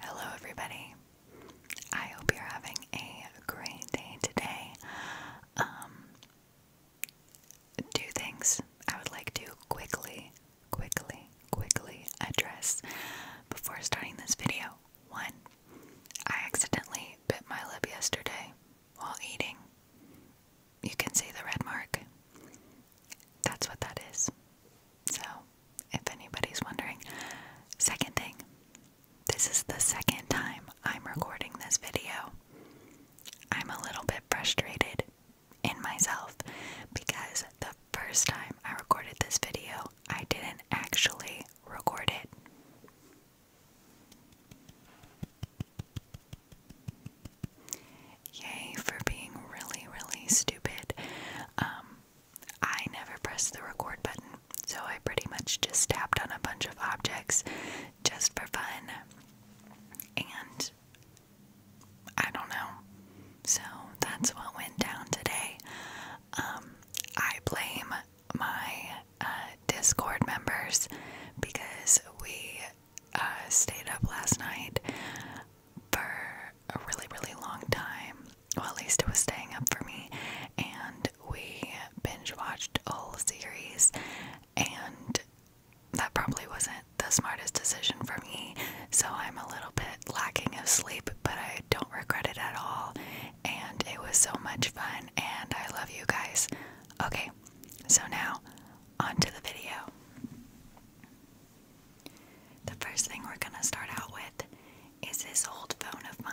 Hello, everybody. I hope you're having a great day today. Um, two things I would like to quickly, quickly, quickly address before starting this video. One, I accidentally bit my lip yesterday while eating. You can see the red mark. That's what that is. So, if anybody's wondering, second thing, this is the second time I'm recording this video. I'm a little bit frustrated in myself because the first time I recorded this video, I didn't actually record it. Yay for being really, really stupid. Um, I never pressed the record button, so I pretty much just tapped on a bunch of objects just for fun. And I don't know. So that's what went down today. Um, I blame my uh, Discord members because we uh, stayed up last night for a really, really long time. Well, at least it was staying up for me. And we binge watched a whole series, and that probably wasn't the smartest decision for me. So I'm a little bit lacking of sleep, but I don't regret it at all. And it was so much fun, and I love you guys. Okay, so now on to the video. The first thing we're going to start out with is this old phone of mine.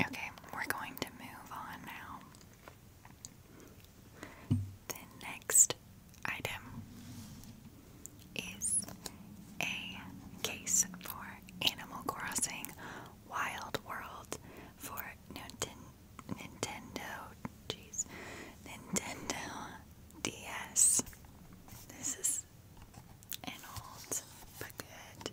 Okay, we're going to move on now. The next item is a case for Animal Crossing Wild World for Nintendo. Jeez, Nintendo DS. This is an old but good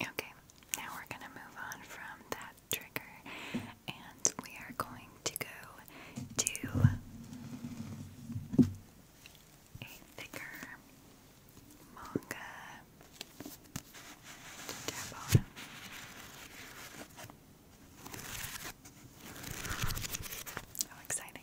Okay, now we're going to move on from that trigger and we are going to go to a thicker manga to tap on. How exciting!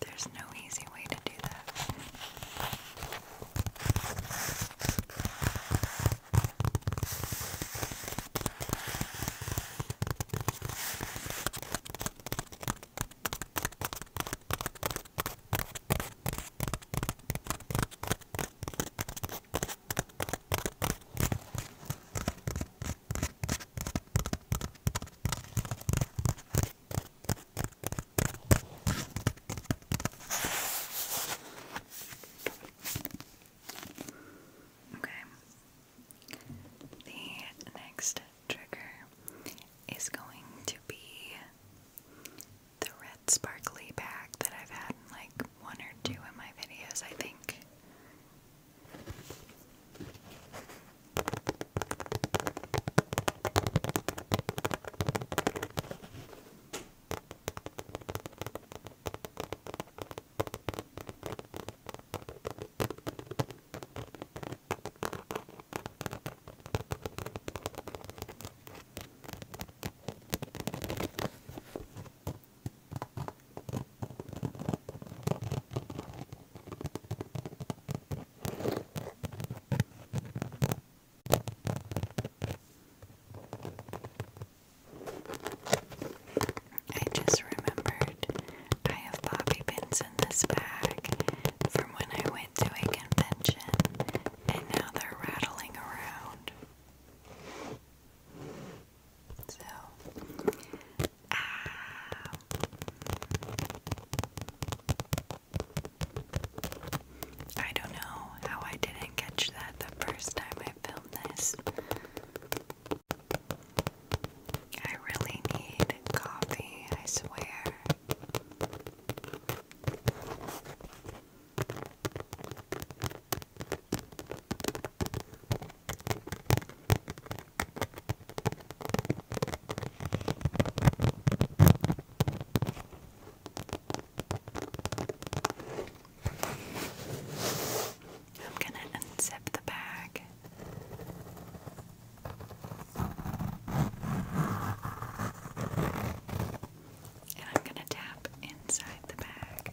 There's no easy way to do that. Okay. The next trigger is going to be the red sparkly bag that I've had in like one or two of my videos, I think. I just remembered I have bobby pins in this bag from when I went to a convention and now they're rattling around. So, ah. I don't know how I didn't catch that the first time I filmed this. I really need coffee, I swear. I'm going to unzip the bag and I'm gonna tap inside the bag.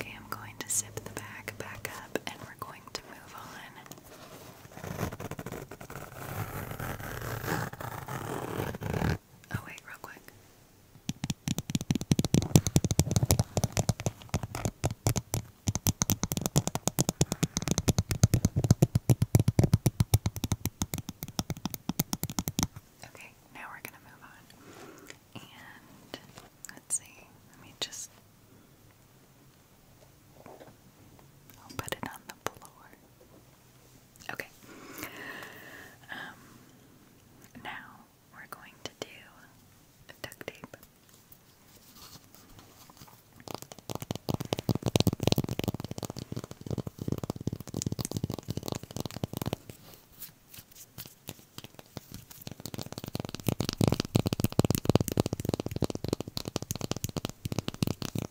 Okay, I'm going to zip the bag back up and we're going to move on. Oh wait, real quick. Okay, now we're gonna move on. And let's see, let me just I'll put it on the floor. Okay. Um, now we're going to do duct tape.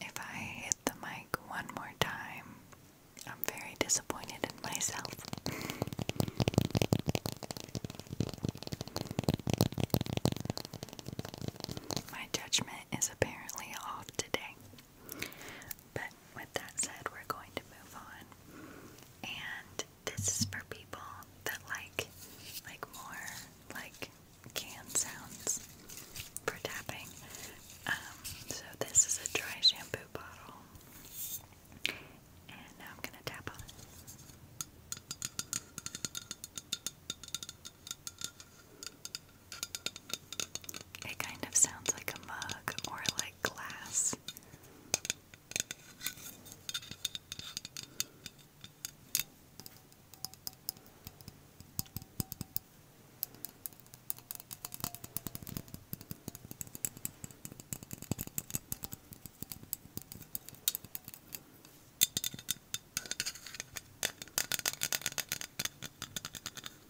If I hit the mic one more time, I'm very disappointed in myself. My judgment is apparently off today. But with that said, we're going to move on. And this is for people that like like more like can sounds for tapping. Um, so this is a dry shampoo bottle. And I'm gonna tap on it. It kind of sounds like a mug or like glass.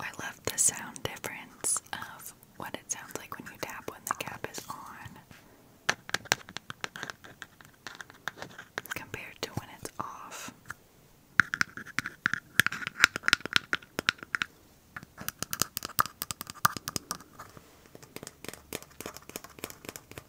I love the sound difference of what it sounds like when you tap when the cap is on compared to when it's off.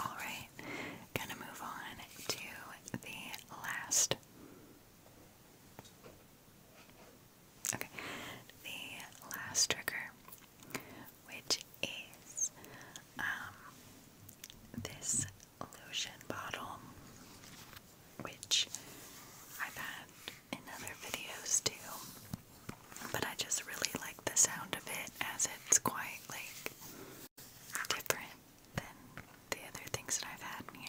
Alright, gonna move on to the last. Okay, the last trigger, which is um, this lotion bottle, which I've had in other videos too, but I just really like the sound of it as it's quite like different than the other things that I've had in here.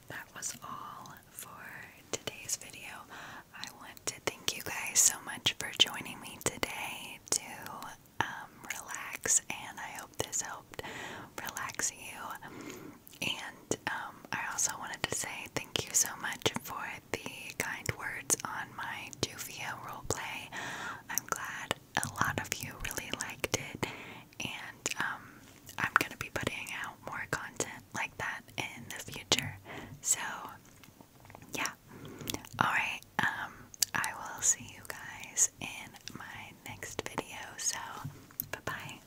that was all for today's video. I want to thank you guys so much for joining me today to um, relax, and I hope this helped relax you. And um, I also wanted to say thank you so much for the kind words on my Juvia roleplay. I'm glad a lot of you really liked it, and um, I'm going to be putting out more content like that in the future. So, yeah. Alright, um, I will see you guys in my next video. So, bye bye.